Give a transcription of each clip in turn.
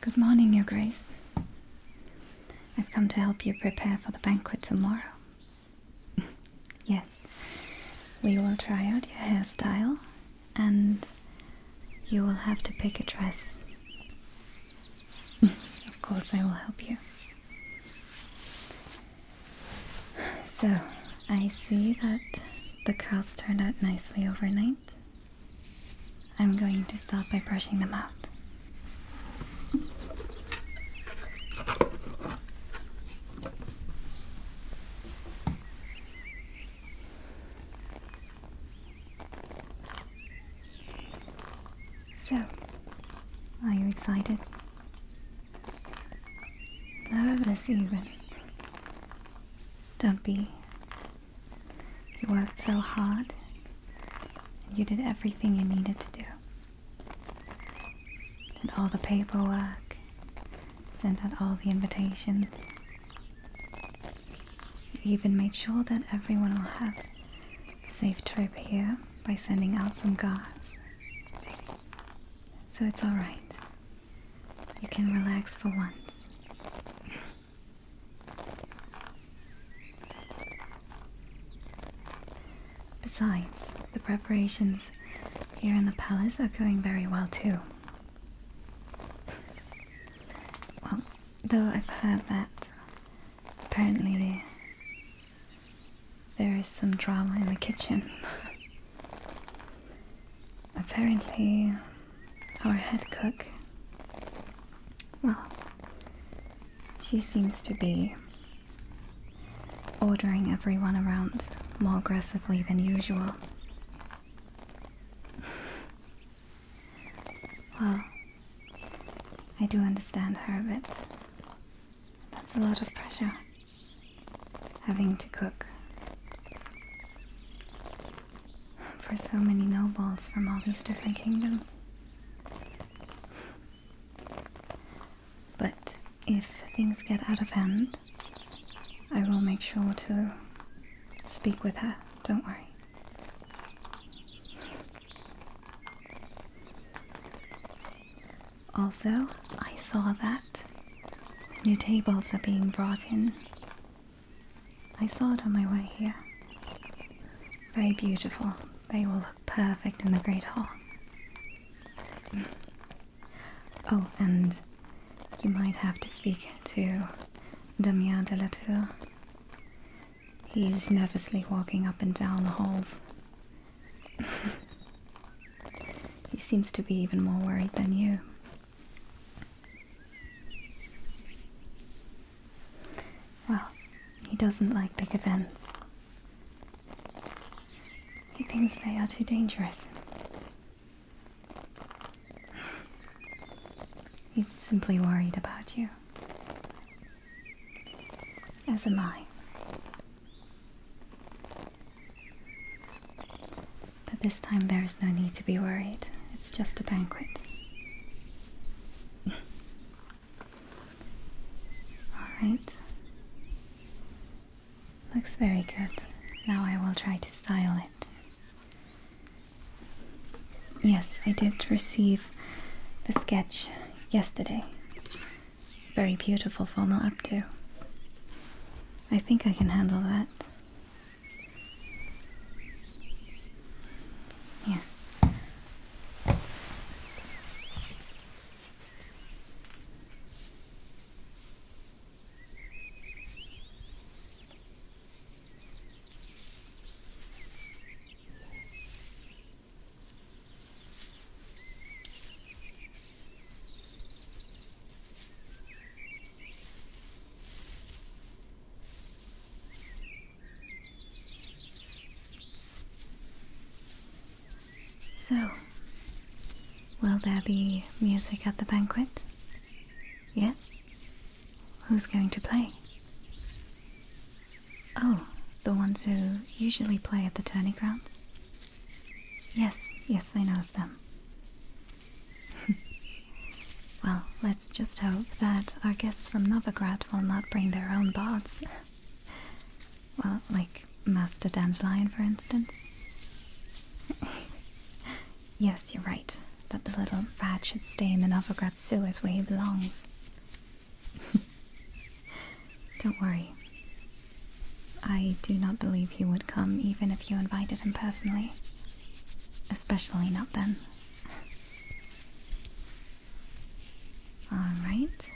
Good morning, Your Grace. I've come to help you prepare for the banquet tomorrow. yes, we will try out your hairstyle and you will have to pick a dress. Of course, I will help you. So, I see that the curls turned out nicely overnight. I'm going to start by brushing them out. So, are you excited? Nervous even. Don't be. You worked so hard. And you did everything you needed to do. Did all the paperwork. Sent out all the invitations. I even made sure that everyone will have a safe trip here by sending out some guards. So it's alright. You can relax for once. Besides, the preparations here in the palace are going very well too. Well, Though I've heard that apparently there is some drama in the kitchen. apparently, our head cook, well, she seems to be ordering everyone around more aggressively than usual. Well, I do understand her a bit. That's a lot of pressure. Having to cook for so many nobles from all these different kingdoms. But if things get out of hand, I will make sure to speak with her, don't worry. Also, I saw that new tables are being brought in. I saw it on my way here. Very beautiful. They will look perfect in the Great Hall. oh, and you might have to speak to Damien de la Tour. He's nervously walking up and down the halls. he seems to be even more worried than you. Well, he doesn't like big events. He thinks they are too dangerous. He's simply worried about you. As am I. But this time there is no need to be worried. It's just a banquet. Alright. Looks very good. Now I will try to style it. Yes, I did receive the sketch yesterday. Very beautiful formal updo. I think I can handle that. Yes. So, will there be music at the banquet? Yes? Who's going to play? Oh, the ones who usually play at the tourney grounds? Yes, yes, I know of them. well, let's just hope that our guests from Novigrad will not bring their own bots. well, like Master Dandelion, for instance. yes, you're right that the little brat should stay in the Novograd sewers where he belongs. Don't worry. I do not believe he would come even if you invited him personally. Especially not then. Alright,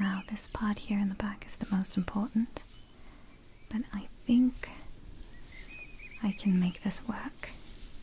now this part here in the back is the most important. But I think I can make this work.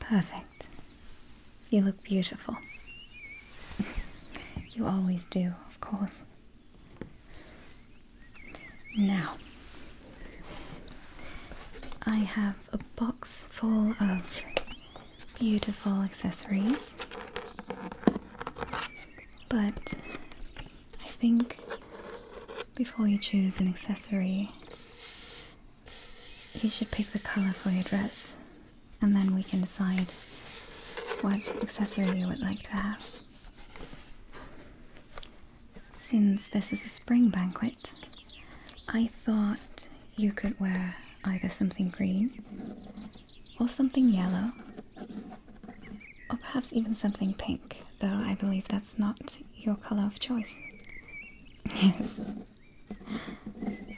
Perfect. You look beautiful. you always do, of course. Now, I have a box full of beautiful accessories, but I think before you choose an accessory, you should pick the color for your dress, and then we can decide what accessory you would like to have. Since this is a spring banquet, I thought you could wear either something green or something yellow, or perhaps even something pink, though I believe that's not your colour of choice. yes.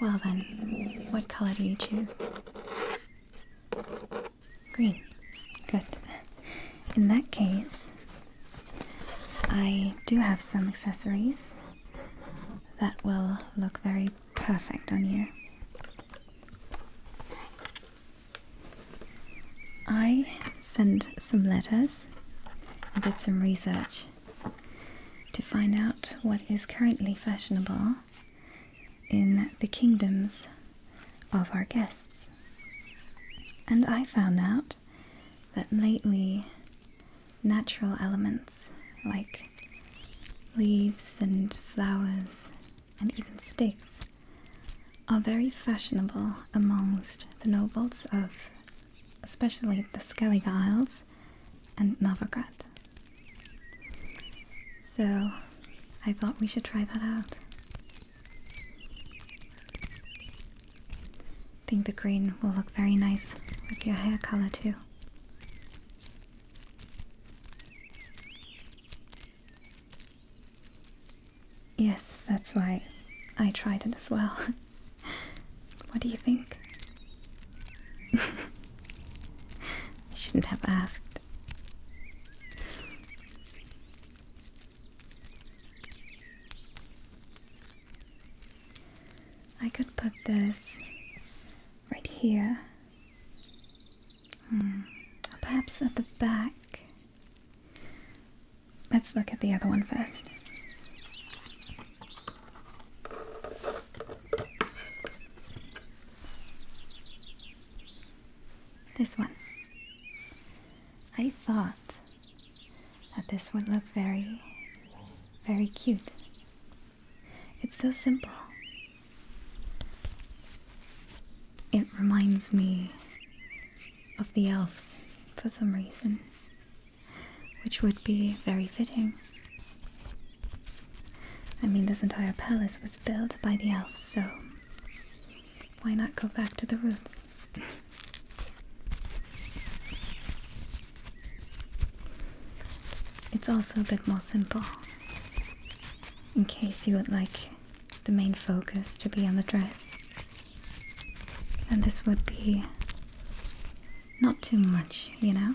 Well then, what colour do you choose? Green. Good. In that case, I do have some accessories that will look very perfect on you. I sent some letters and did some research to find out what is currently fashionable in the kingdoms of our guests. And I found out that lately natural elements like leaves and flowers and even sticks are very fashionable amongst the nobles of especially the Skellig Isles and Novigrad. So I thought we should try that out. I think the green will look very nice with your hair color too. Yes, that's why I tried it as well. what do you think? I shouldn't have asked. I could put this right here. Or hmm. perhaps at the back. Let's look at the other one first. This one. I thought that this would look very, very cute. It's so simple. It reminds me of the elves for some reason, which would be very fitting. I mean, this entire palace was built by the elves, so why not go back to the roots? it's also a bit more simple. In case you would like the main focus to be on the dress. then this would be not too much, you know?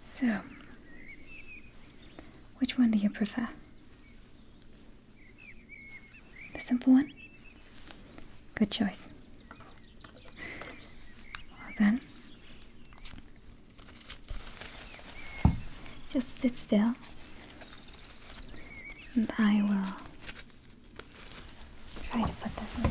So, which one do you prefer? The simple one? Good choice. Well, then, just sit still, and I will try to put this in.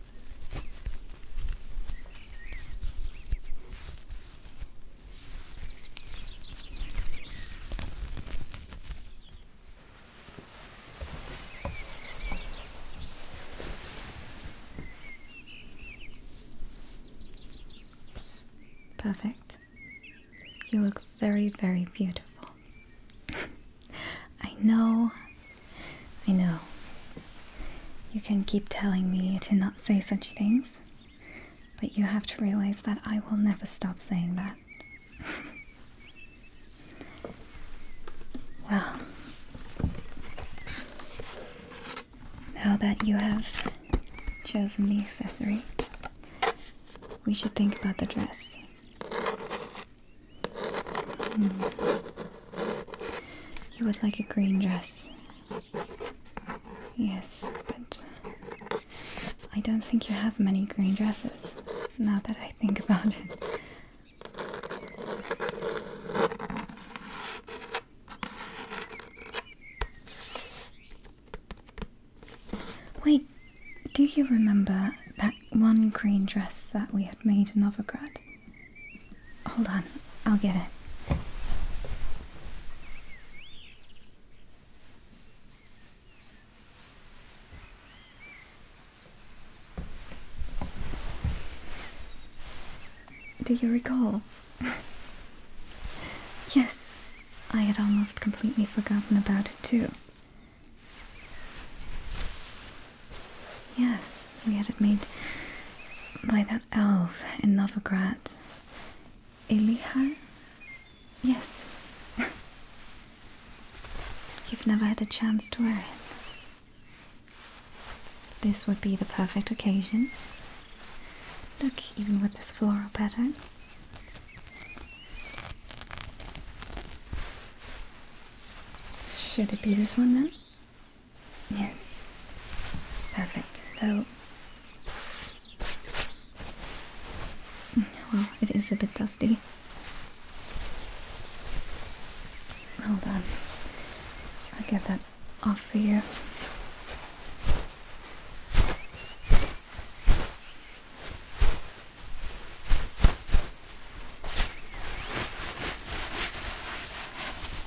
Perfect. You look very, very beautiful. I know I know. You can keep telling me to not say such things, but you have to realize that I will never stop saying that. well, now that you have chosen the accessory, we should think about the dress. Hmm. You would like a green dress. Yes, but I don't think you have many green dresses, now that I think about it. Wait, do you remember that one green dress that we had made in Novigrad? Hold on, I'll get it. Do you recall? yes, I had almost completely forgotten about it too. Yes, we had it made by that elf in Novograd. Eliha? Yes. You've never had a chance to wear it. This would be the perfect occasion. Look, even with this floral pattern. Should it be this one then? Yes. Perfect, though. Well, it is a bit dusty. Hold on. I'll get that off for you.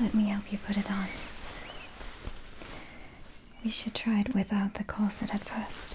Let me help you put it on. We should try it without the corset at first.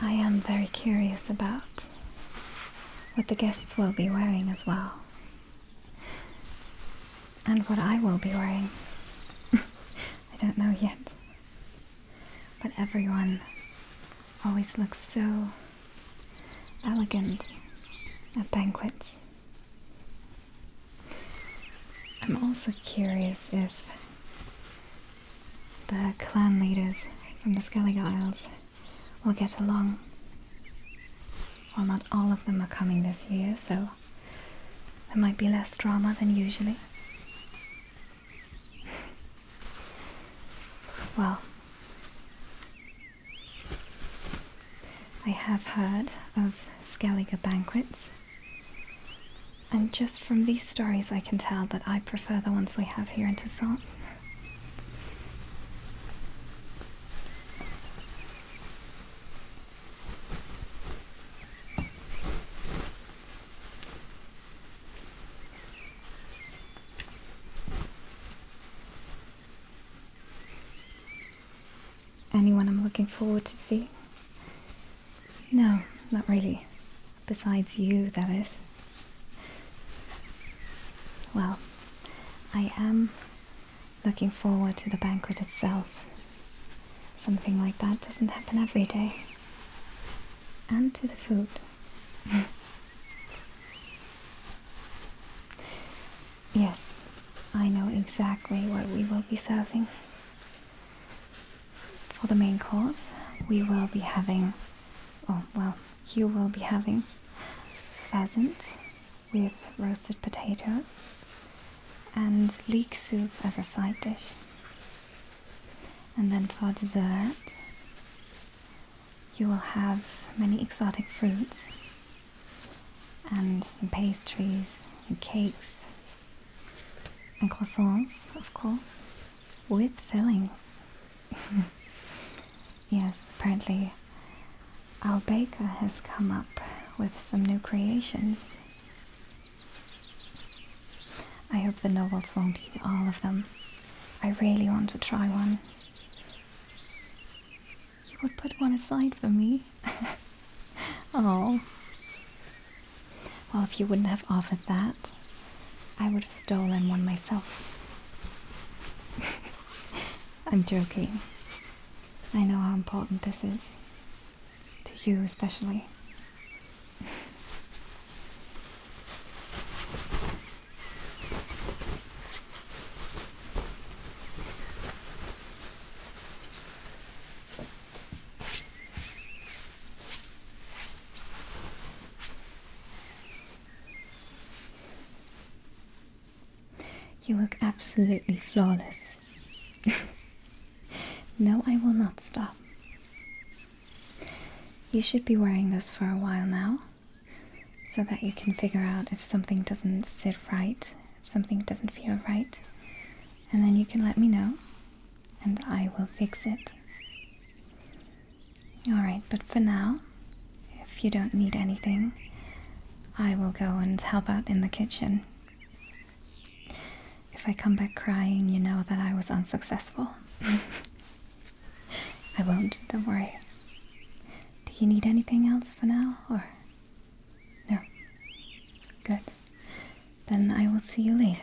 I am very curious about what the guests will be wearing as well. And what I will be wearing. I don't know yet. But everyone always looks so elegant at banquets. I'm also curious if the clan leaders from the Skellig Isles will get along. Well, not all of them are coming this year, so there might be less drama than usually. well, I have heard of Skellige banquets, and just from these stories I can tell that I prefer the ones we have here in Toussaint. Anyone I'm looking forward to see? No, not really. Besides you, that is. Well, I am looking forward to the banquet itself. Something like that doesn't happen every day. And to the food. yes, I know exactly what we will be serving. For the main course, we will be having, oh well, you will be having pheasant with roasted potatoes, and leek soup as a side dish. And then for dessert, you will have many exotic fruits and some pastries and cakes and croissants, of course, with fillings. yes, apparently our baker has come up with some new creations I hope the nobles won't eat all of them. I really want to try one. You would put one aside for me? oh. Well, if you wouldn't have offered that, I would have stolen one myself. I'm joking. I know how important this is. To you especially. You look absolutely flawless. no, I will not stop. You should be wearing this for a while now, so that you can figure out if something doesn't sit right, if something doesn't feel right, and then you can let me know, and I will fix it. Alright, but for now, if you don't need anything, I will go and help out in the kitchen. If I come back crying, you know that I was unsuccessful. I won't, don't worry. Do you need anything else for now, or? No. Good. Then I will see you later.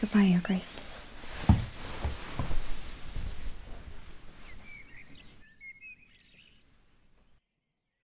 Goodbye, Your Grace.